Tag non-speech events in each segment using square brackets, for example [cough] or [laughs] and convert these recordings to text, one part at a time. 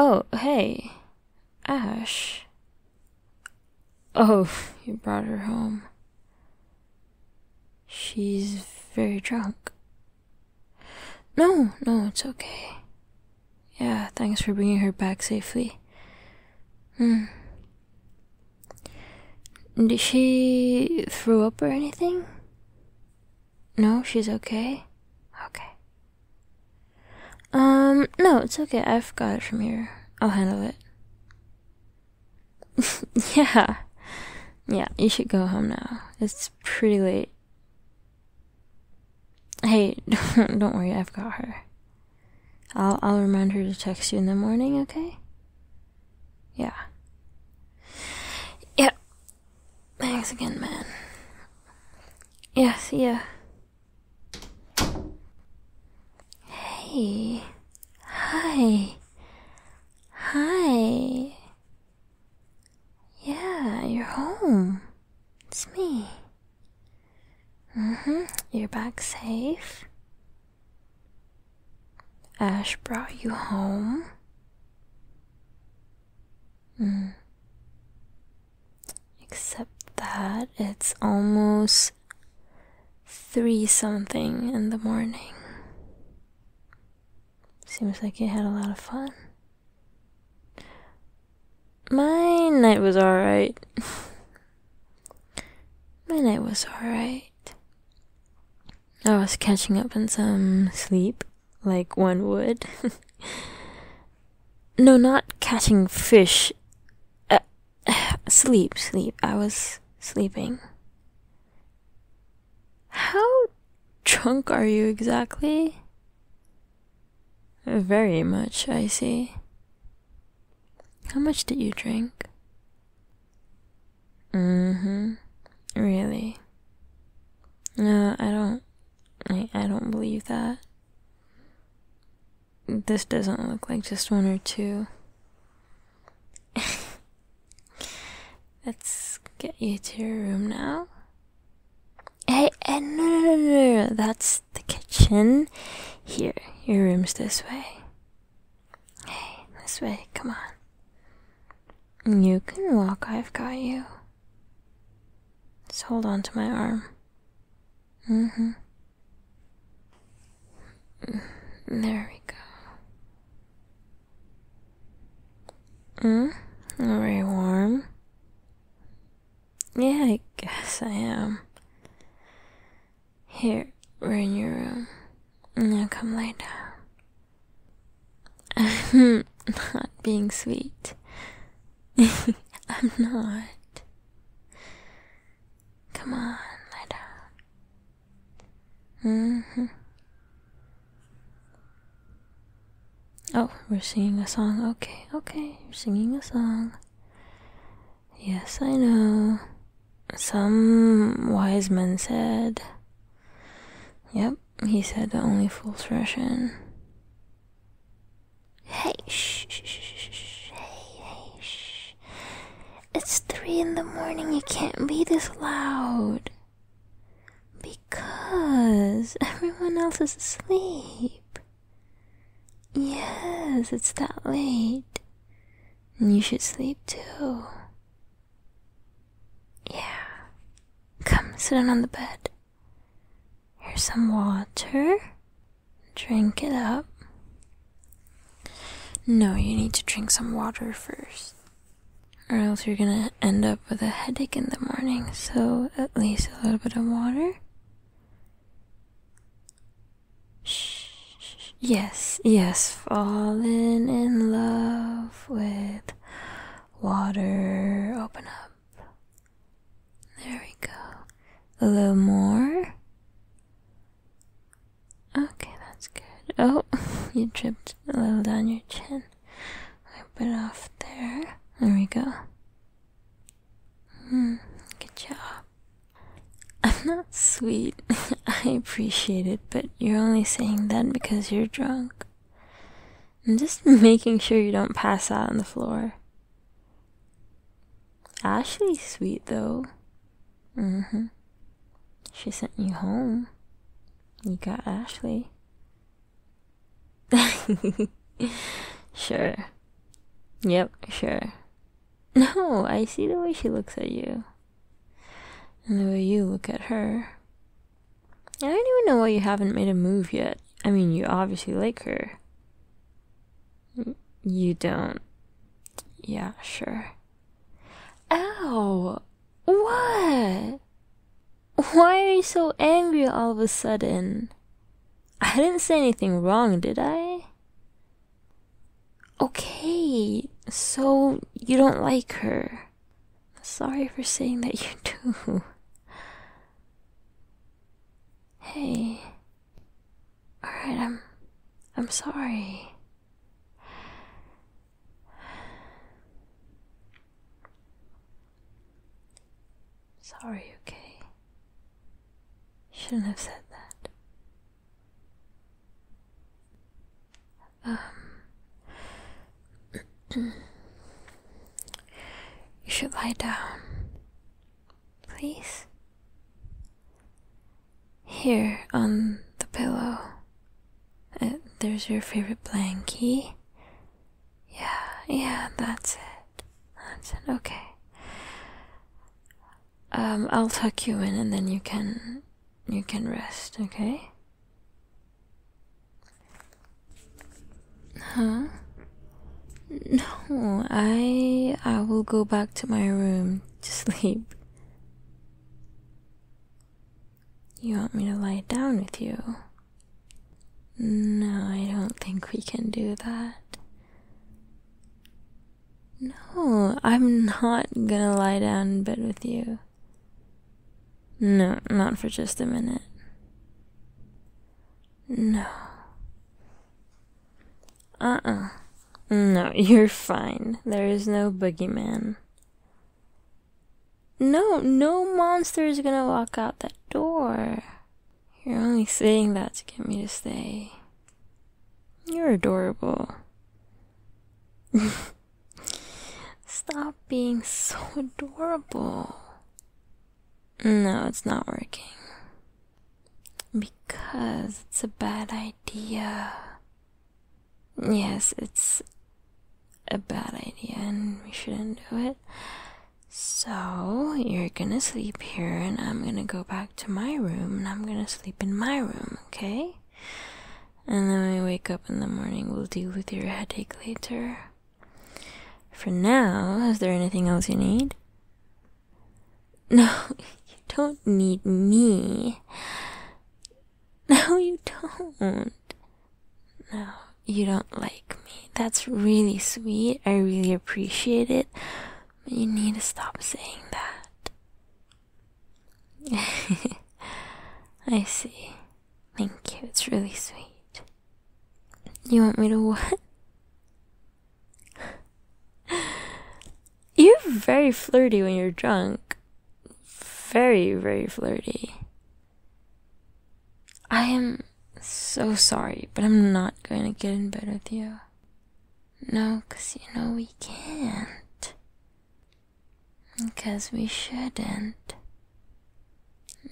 Oh, hey, Ash. Oh, [laughs] you brought her home. She's very drunk. No, no, it's okay. Yeah, thanks for bringing her back safely. Hmm. Did she throw up or anything? No, she's okay? Okay. Um, no, it's okay. I've got it from here. I'll handle it. [laughs] yeah. Yeah, you should go home now. It's pretty late. Hey, [laughs] don't worry, I've got her. I'll I'll remind her to text you in the morning, okay? Yeah. Yep. Thanks again, man. Yeah, see ya. Hey. Hi. Hi. Yeah, you're home. It's me. Mm-hmm. You're back safe. Ash brought you home? Mm. Except that it's almost three something in the morning. Seems like you had a lot of fun. My night was alright. [laughs] My night was alright. I was catching up on some sleep, like one would. [laughs] no, not catching fish. Uh, [sighs] sleep, sleep. I was sleeping. How drunk are you exactly? Very much, I see. How much did you drink? hmm Really? No, I don't. I, I don't believe that. This doesn't look like just one or two. [laughs] Let's get you to your room now. Hey, eh, no, no, no, no, that's the kitchen. Here, your room's this way. Hey, this way, come on. You can walk, I've got you. Just hold on to my arm. Mm hmm. There we go. Hmm? Very warm. Yeah, I guess I am. Here, we're in your room. Now come lay down. I'm [laughs] not being sweet. [laughs] I'm not. Come on, lie down. Mm-hmm. Oh, we're singing a song. Okay, okay, you're singing a song. Yes, I know. Some wise man said. Yep, he said the only fools Russian. Hey, shh, shh, shh, shh, hey, hey, shh. It's three in the morning, you can't be this loud. Because everyone else is asleep. Yes, it's that late. and You should sleep too. Yeah. Come sit down on the bed. Here's some water. Drink it up. No, you need to drink some water first. Or else you're gonna end up with a headache in the morning, so at least a little bit of water. Shh. Yes, yes, falling in love with water. Open up. There we go. A little more. Okay, that's good. Oh, [laughs] you dripped a little down your chin. Wipe it off there. There we go. Hmm, good job. I'm [laughs] not sweet. [laughs] I appreciate it, but you're only saying that because you're drunk. I'm just [laughs] making sure you don't pass out on the floor. Ashley's sweet, though. Mm hmm. She sent you home. You got Ashley. sure. Yep, sure. No, I see the way she looks at you. And the way you look at her. I don't even know why you haven't made a move yet. I mean, you obviously like her. You don't. Yeah, sure. Ow! What? Why are you so angry all of a sudden? I didn't say anything wrong, did I? Okay, so you don't like her. Sorry for saying that you do. [laughs] Hey. Alright, I'm I'm sorry. Sorry, okay. Shouldn't have said that. Um, [clears throat] you should lie down, please. Here on the pillow, uh, there's your favorite blanket. Yeah, yeah, that's it. That's it. Okay. Um, I'll tuck you in, and then you can you can rest, okay? Huh? No, I I will go back to my room to [laughs] sleep. You want me to lie down with you? No, I don't think we can do that. No, I'm not gonna lie down in bed with you. No, not for just a minute. No. Uh uh. No, you're fine. There is no boogeyman. No, no monster is gonna walk out that door. You're only saying that to get me to stay. You're adorable. [laughs] Stop being so adorable. No, it's not working. Because it's a bad idea. Yes, it's a bad idea and we shouldn't do it. So, you're gonna sleep here and I'm gonna go back to my room and I'm gonna sleep in my room, okay? And then when we wake up in the morning, we'll deal with your headache later. For now, is there anything else you need? [laughs] No, you don't need me. [laughs] No, you don't. No, you don't like me. That's really sweet. I really appreciate it. But you need to stop saying that. [laughs] I see. Thank you. It's really sweet. You want me to what? [laughs] You're very flirty when you're drunk. Very, very flirty. I am so sorry, but I'm not going to get in bed with you. No, 'cause you know we can 'Cause we shouldn't.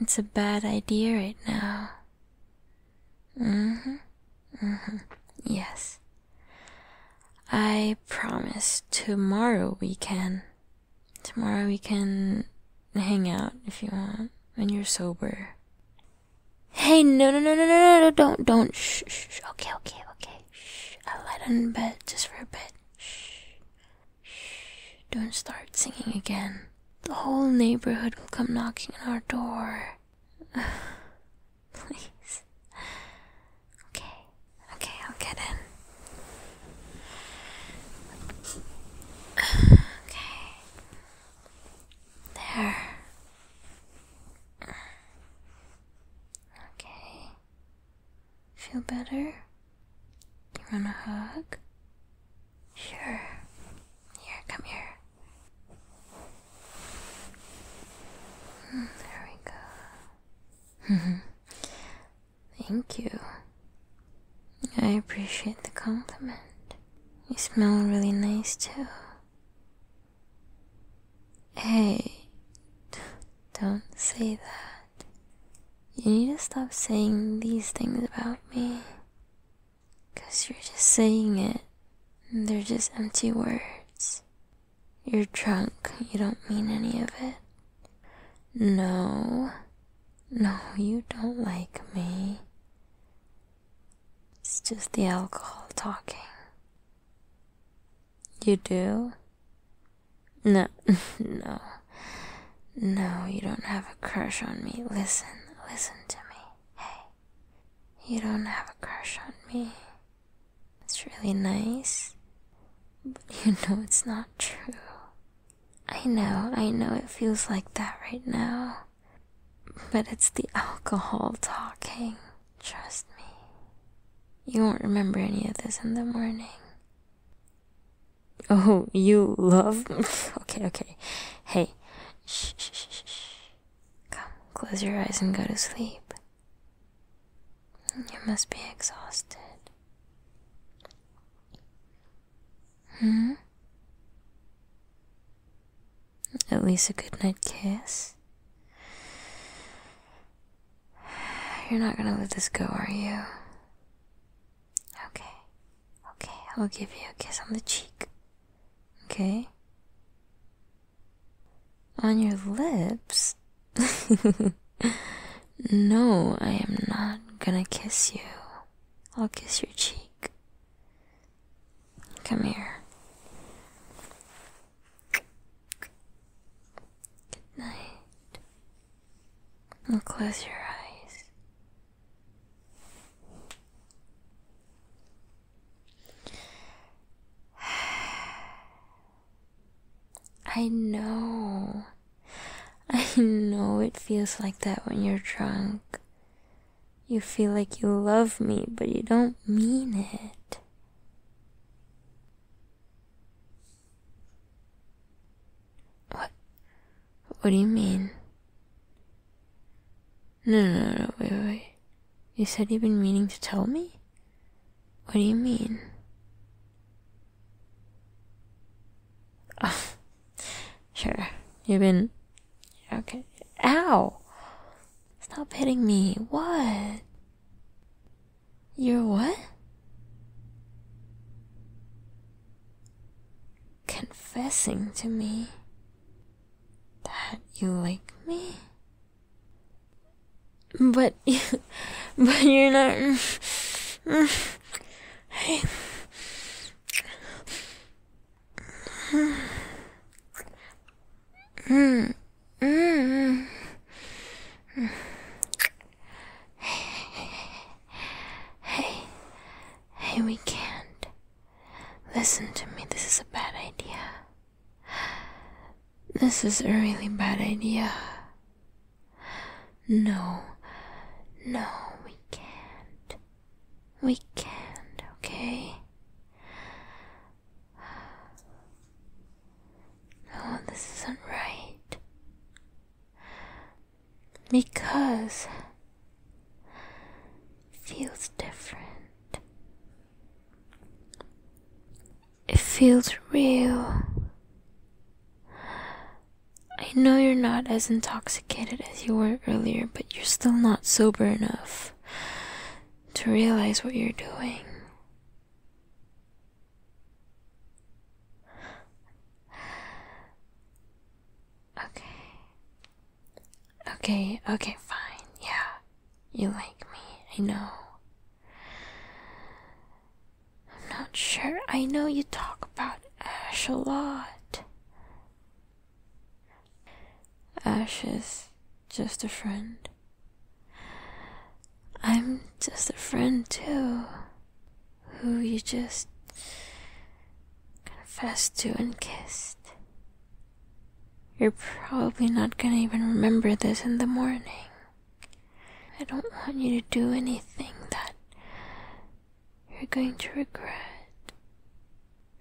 It's a bad idea right now. Mm-hmm. Mm-hmm. Yes. I promise tomorrow we can. Tomorrow we can hang out if you want when you're sober. Hey, no, no, no, no, no, no, don't, don't. Shh, shh. Okay, okay, okay. Shh. I'll lie down in bed just for a bit. Shh. Shh. Don't start singing again. The whole neighborhood will come knocking on our door. [sighs] Please. Okay. Okay, I'll get in. [sighs] Okay. There. Okay. Feel better? You want a hug? Sure. Here, come here. Hmm, there we go. [laughs] Thank you. I appreciate the compliment. You smell really nice too. Hey, don't say that. You need to stop saying these things about me. Because you're just saying it. They're just empty words. You're drunk. You don't mean any of it. No. No, you don't like me. It's just the alcohol talking. You do? No, [laughs] no, no, you don't have a crush on me. Listen, listen to me. Hey, you don't have a crush on me. It's really nice, but you [laughs] know it's not true. I know, I know it feels like that right now, but it's the alcohol talking. Trust me, you won't remember any of this in the morning. Oh, you love? me? [laughs] okay, okay. Hey, shh, shh, shh, shh. Come, close your eyes and go to sleep. You must be exhausted. Hmm? At least a goodnight kiss? You're not gonna let this go, are you? Okay. Okay, I will give you a kiss on the cheek. Okay? On your lips? [laughs] no, I am not gonna kiss you. I'll kiss your cheek. Come here. Good night. close your eyes. [sighs] I know. I know it feels like that when you're drunk. You feel like you love me, but you don't mean it. What? What do you mean? No, no, no, wait, wait. You said you've been meaning to tell me? What do you mean? Oh, [laughs] sure. You've been. Okay. Ow! Stop hitting me. What? You're what? Confessing to me that you like me? But, [laughs] but you're not. [laughs] hey we can can't. Listen to me. This is a bad idea. This is a really bad idea. No, no, we can't. We can't, okay? No, this isn't right. Because feels different. It feels real. I know you're not as intoxicated as you were earlier, but you're still not sober enough to realize what you're doing. Okay. Okay, okay, fine. Yeah. You like me. I know. I'm not sure. I know you talk about Ash a lot. Ashes, just a friend. I'm just a friend too, who you just confessed to and kissed. You're probably not gonna even remember this in the morning. I don't want you to do anything that you're going to regret,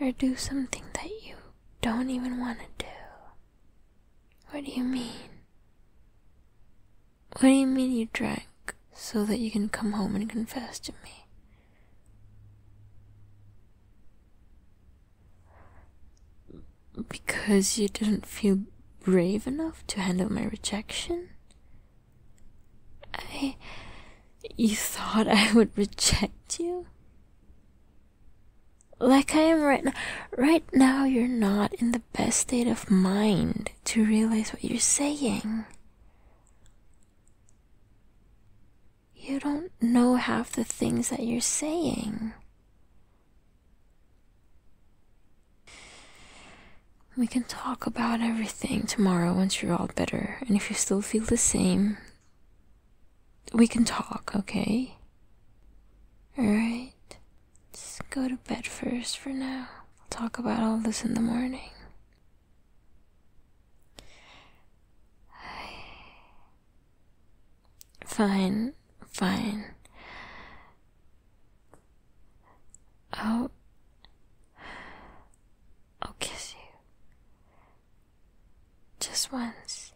or do something that you don't even want to do. What do you mean? What do you mean you drank so that you can come home and confess to me? Because you didn't feel brave enough to handle my rejection? I. You thought I would reject you? Like I am right now. Right now, you're not in the best state of mind to realize what you're saying. You don't know half the things that you're saying. We can talk about everything tomorrow once you're all better, and if you still feel the same, we can talk, okay? Alright. us go to bed first for now. we will talk about all this in the morning. [sighs] Fine, fine. I'll, I'll kiss you. Just once.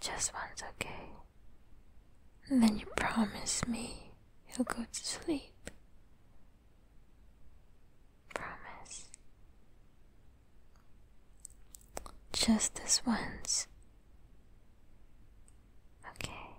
Just once, okay? then you promise me you'll go to sleep. Promise. Just this once. Okay.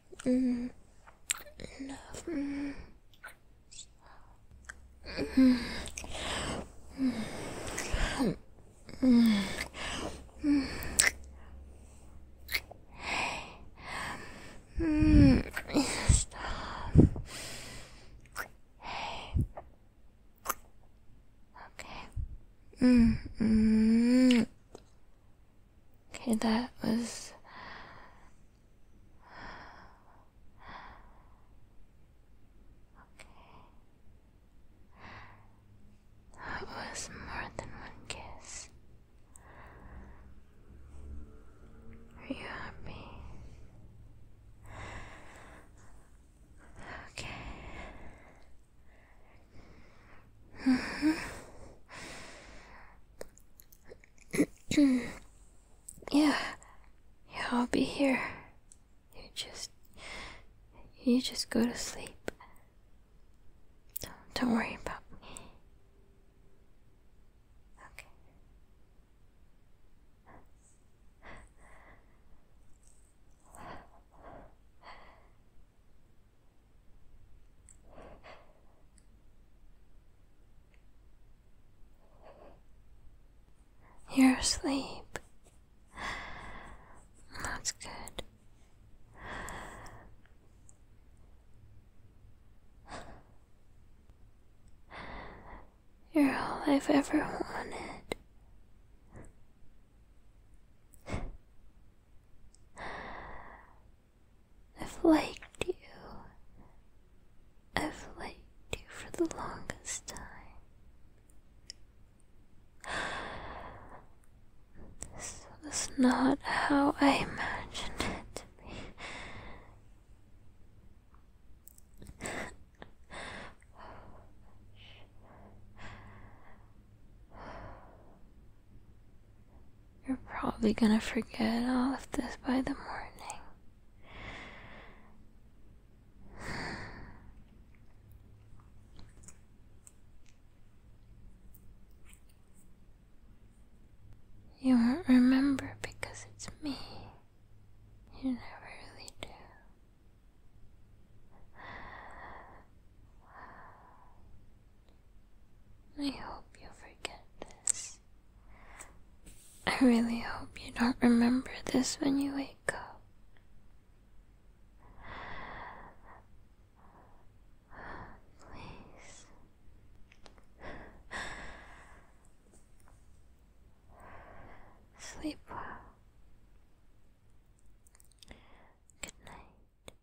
Mm. Mm. Mm. Mm. Mm. Mm. Stop. Okay. Mm. Mm. Okay, that was. Okay. That was more than one kiss. Are you happy? Okay. Mm -hmm yeah, yeah, I'll be here. You just, you just go to sleep. Don't, worry about me. Okay. You're asleep. That's good. You're all I've ever wanted. I've liked you. I've liked you for the longest time. This was not how I imagined it to be. You're probably gonna forget all of this by the morning. You won't remember because it's me. You never really do. I hope you forget this. I really hope you don't remember this when you wake up. Please. Sleep well. Good night.